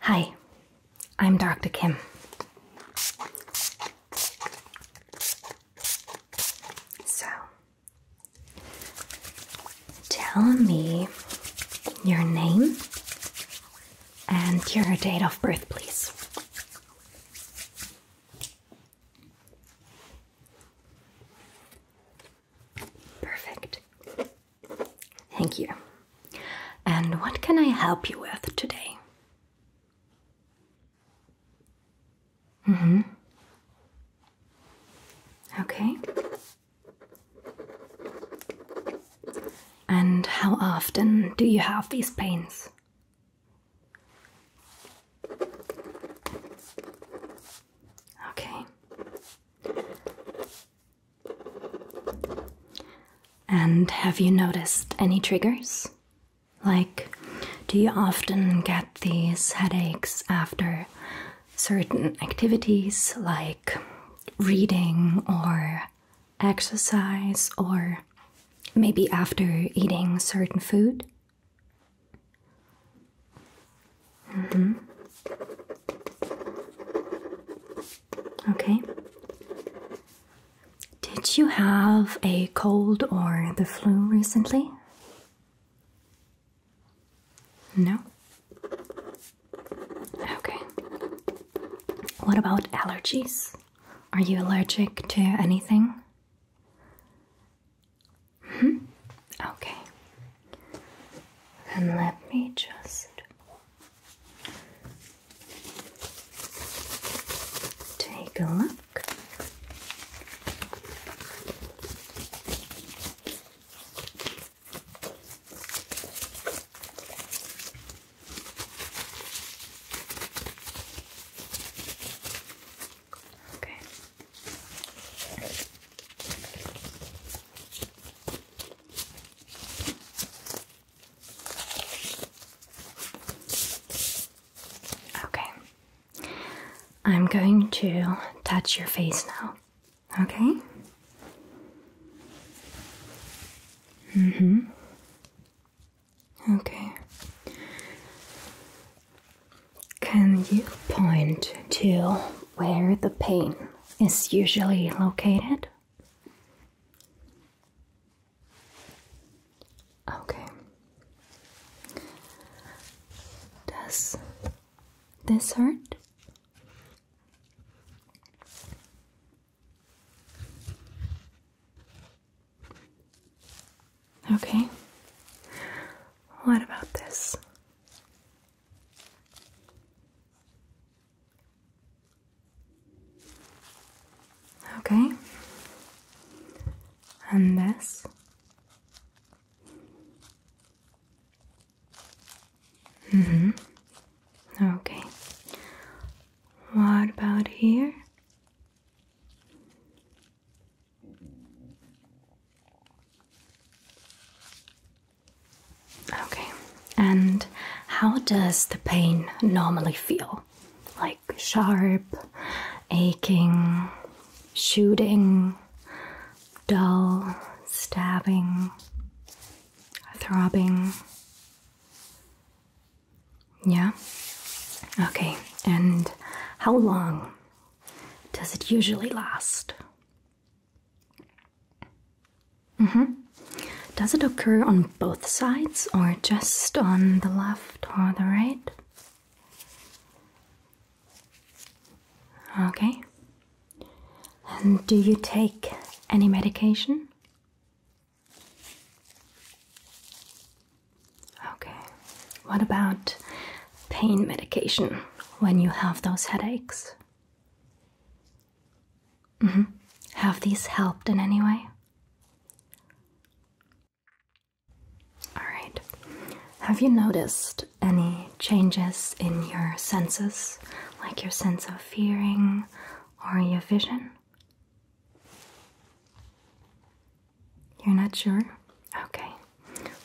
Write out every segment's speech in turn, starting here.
Hi, I'm Dr. Kim. So, tell me your name and your date of birth, please. Perfect. Thank you. And what can I help you with today? Mm hmm. Okay. And how often do you have these pains? Okay. And have you noticed any triggers? Like, do you often get these headaches after certain activities like reading or exercise or maybe after eating certain food? Mm -hmm. Okay? Did you have a cold or the flu recently? No? Okay. What about allergies? Are you allergic to anything? Hmm? Okay. And let me just Take a look. Okay. Okay. I'm going to touch your face now. Okay? Mhm. Mm okay. Can you point to where the pain is usually located? Okay. Does this hurt? Okay. What about this? Okay. And this. Mhm. Mm okay. What about here? Okay, and how does the pain normally feel? Like sharp, aching, shooting, dull, stabbing, throbbing? Yeah? Okay, and how long does it usually last? Mm-hmm. Does it occur on both sides or just on the left or the right? Okay. And do you take any medication? Okay. What about pain medication when you have those headaches? Mm-hmm. Have these helped in any way? Alright. Have you noticed any changes in your senses, like your sense of hearing or your vision? You're not sure? Okay.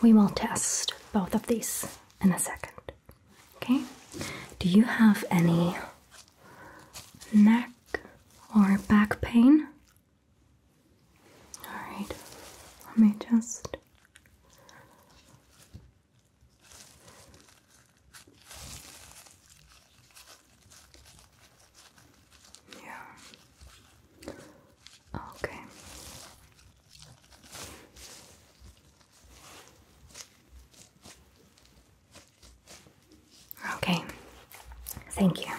We will test both of these in a second. Okay, do you have any neck or back pain? Alright, let me just. Yeah. Okay. Okay, thank you.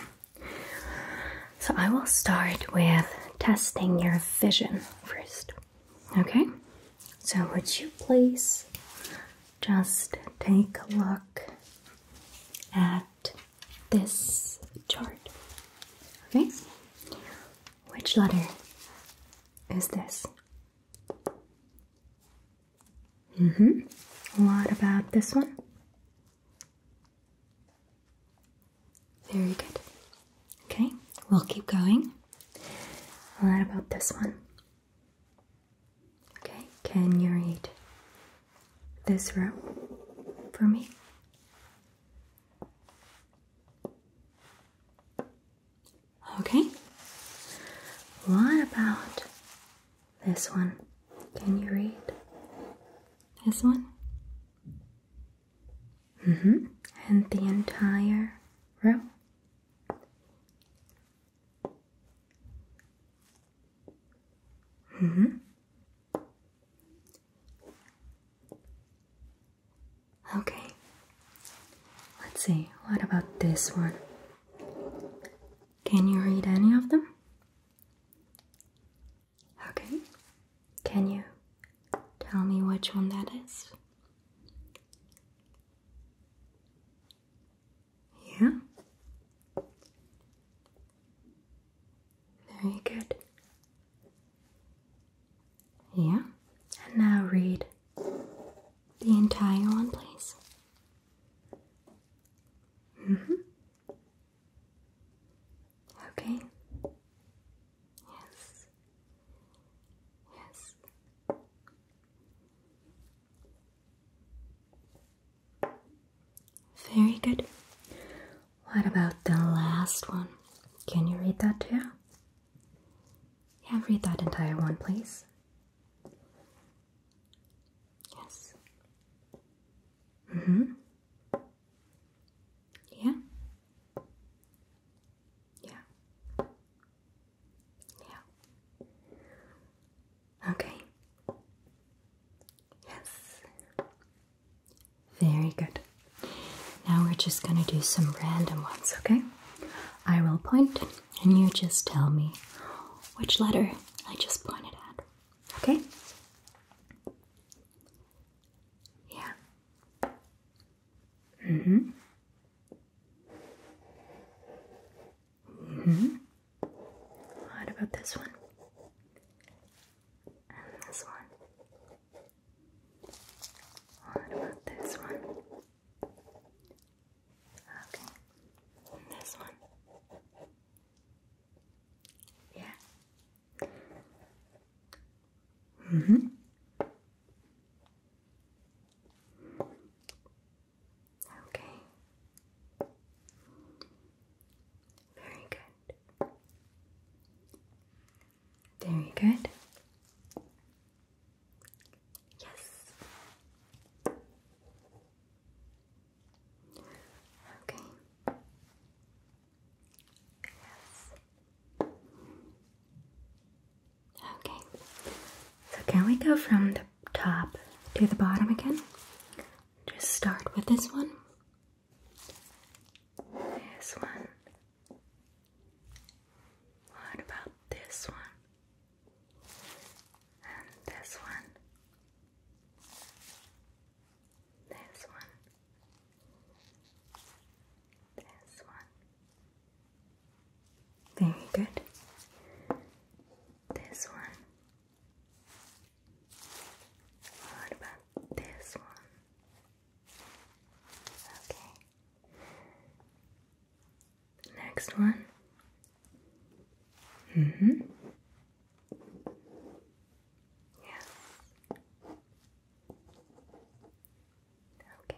So I will start with testing your vision first. Okay, so would you please just take a look at this chart? Okay, which letter is this? Mm hmm. What about this one? Very good. Okay, we'll keep going. What about this one? Okay, can you read this row for me? Okay. What about this one? Can you read this one? Mm hmm. And the entire row? hmm. Okay. Let's see, what about this one? Can you read any of them? Okay. Can you tell me which one that is? Yeah? Very good. Yeah, and now read the entire one, please. Mm-hmm. Okay. Yes. Yes. Very good. What about the last one? Can you read that too? Yeah, read that entire one, please. Yes. Mm-hmm. Yeah. Yeah. Yeah. Okay. Yes. Very good. Now we're just going to do some random ones, okay? I will point and you just tell me which letter I just pointed at, okay? Yeah. Mm hmm. Mm hmm. What about this one? And this one. What about this one? Okay. this one? Yeah. Mm-hmm. Okay. Very good. Very good. Yes. Okay. Yes. Okay. So can we go from the top to the bottom again? Just start with this one. This one. What about this one? And this one? This one? This one? Very good. This one. What about this one? Okay. Next one. hmm Yes. Okay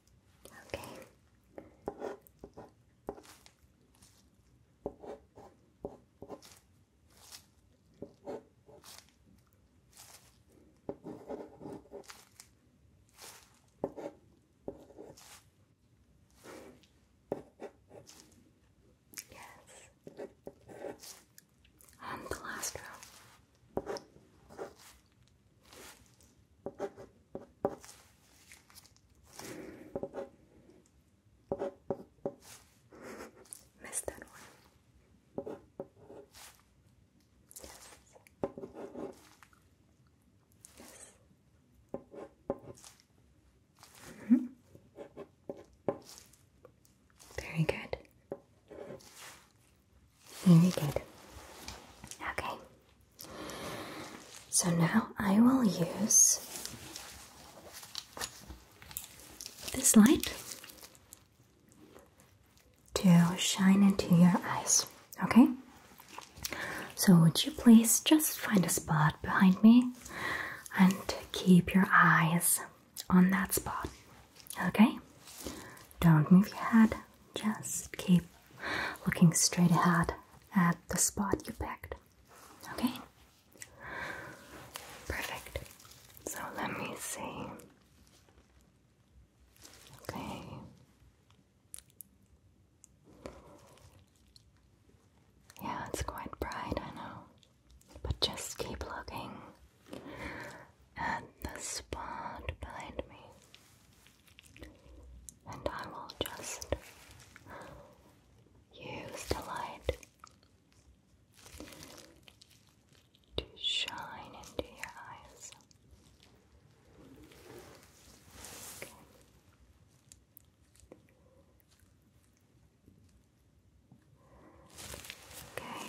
Okay. Yes. And the last row. Missed that one. Yes. Yes. -hmm. Very good. Very good. Okay. So now I will use this light to shine into your eyes. Okay? So, would you please just find a spot behind me and keep your eyes on that spot? Okay? Don't move your head. Just keep looking straight ahead at the spot you picked. Okay? Perfect. So let me see. Okay. Yeah, it's quite bright, I know. But just keep looking at the spot behind me and I will just use the light to shine into your eyes. Okay.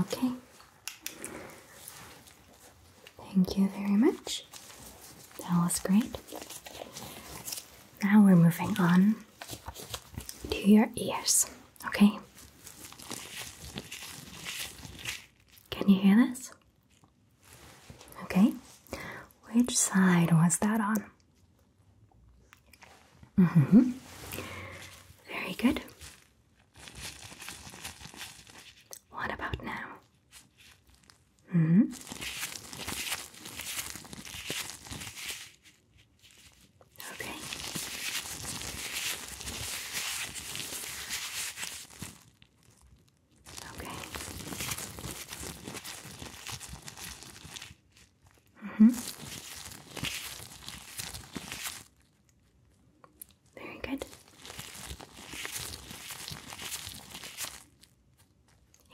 Okay. Thank you very much. That was great. Now we're moving on to your ears. Okay. Can you hear this? Okay. Which side was that on? Mm-hmm. Very good. What about now? Mm-hmm. Okay. Okay. Mm -hmm. Very good.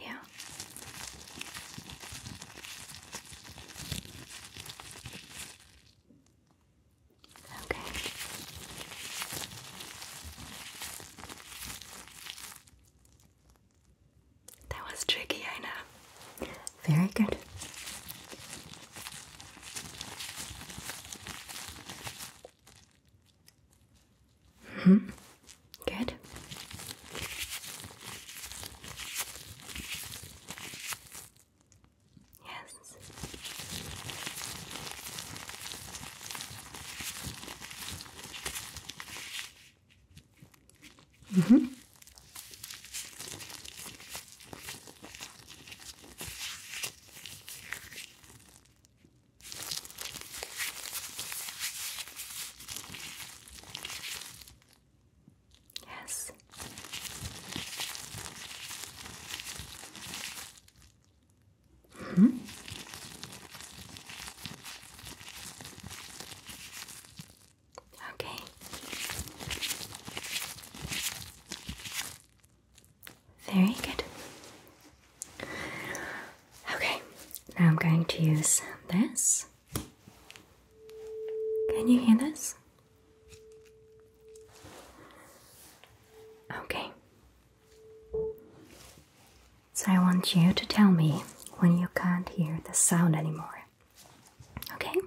Yeah. Okay. That was tricky, I know. Very good. hmm. Good. Yes. Mm -hmm. Yes. -hmm. Okay. Very good. Okay, now I'm going to use this. Can you hear this? Okay. So I want you to tell me when you can't hear the sound anymore. Okay?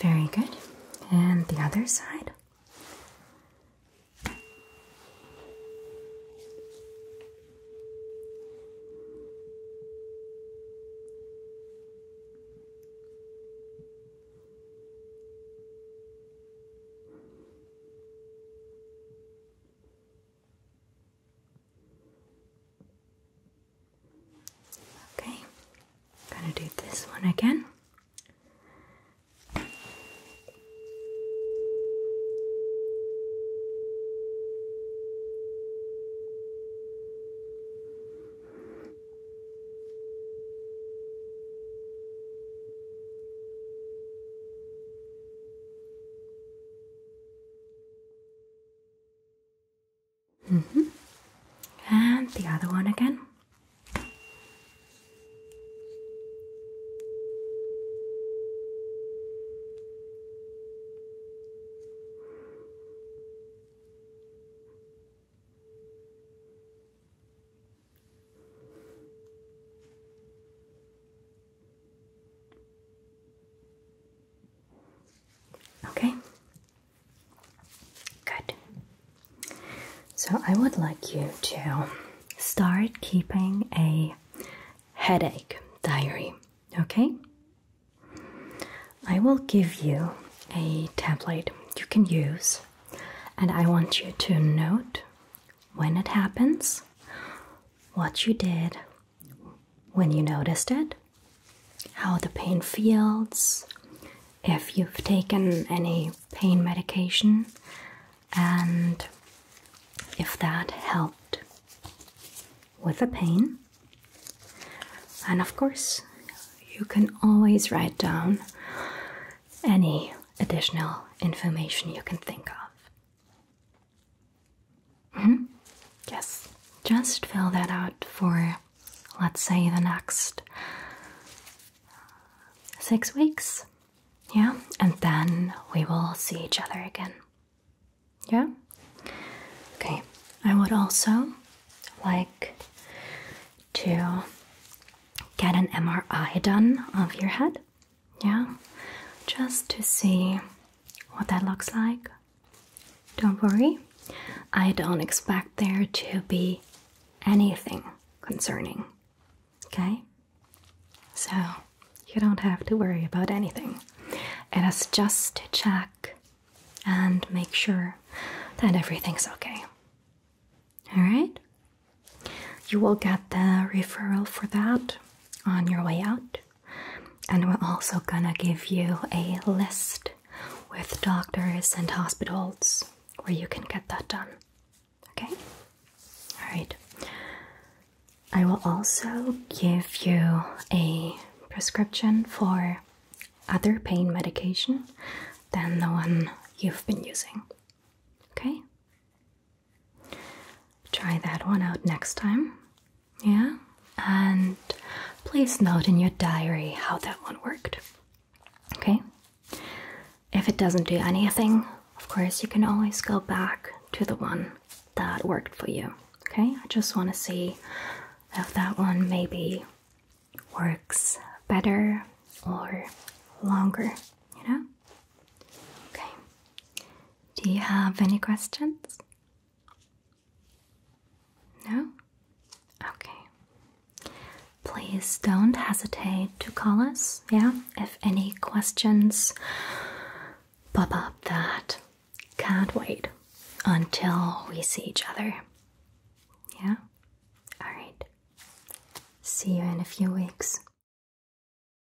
Very good. And the other side. Okay, I'm gonna do this one again. -hmm. And the other one again. Okay? Good. So I would like you to start keeping a headache diary, okay? I will give you a template you can use, and I want you to note when it happens, what you did, when you noticed it, how the pain feels, if you've taken any pain medication, and if that helped with the pain. And of course, you can always write down any additional information you can think of. -hmm. Yes, just fill that out for, let's say, the next six weeks. Yeah, and then we will see each other again. Yeah? Okay, I would also like to get an MRI done of your head. Yeah, just to see what that looks like. Don't worry, I don't expect there to be anything concerning. Okay? So, you don't have to worry about anything. It is just to check and make sure that everything's okay. Alright? You will get the referral for that on your way out. And we're also gonna give you a list with doctors and hospitals where you can get that done. Okay? Alright. I will also give you a prescription for other pain medication than the one you've been using. Okay? Try that one out next time. Yeah? And please note in your diary how that one worked. Okay? If it doesn't do anything, of course, you can always go back to the one that worked for you. Okay? I just want to see if that one maybe works better or longer, you know? Okay. Do you have any questions? No? Okay. Please don't hesitate to call us, yeah, if any questions pop up that can't wait until we see each other. Yeah? Alright. See you in a few weeks.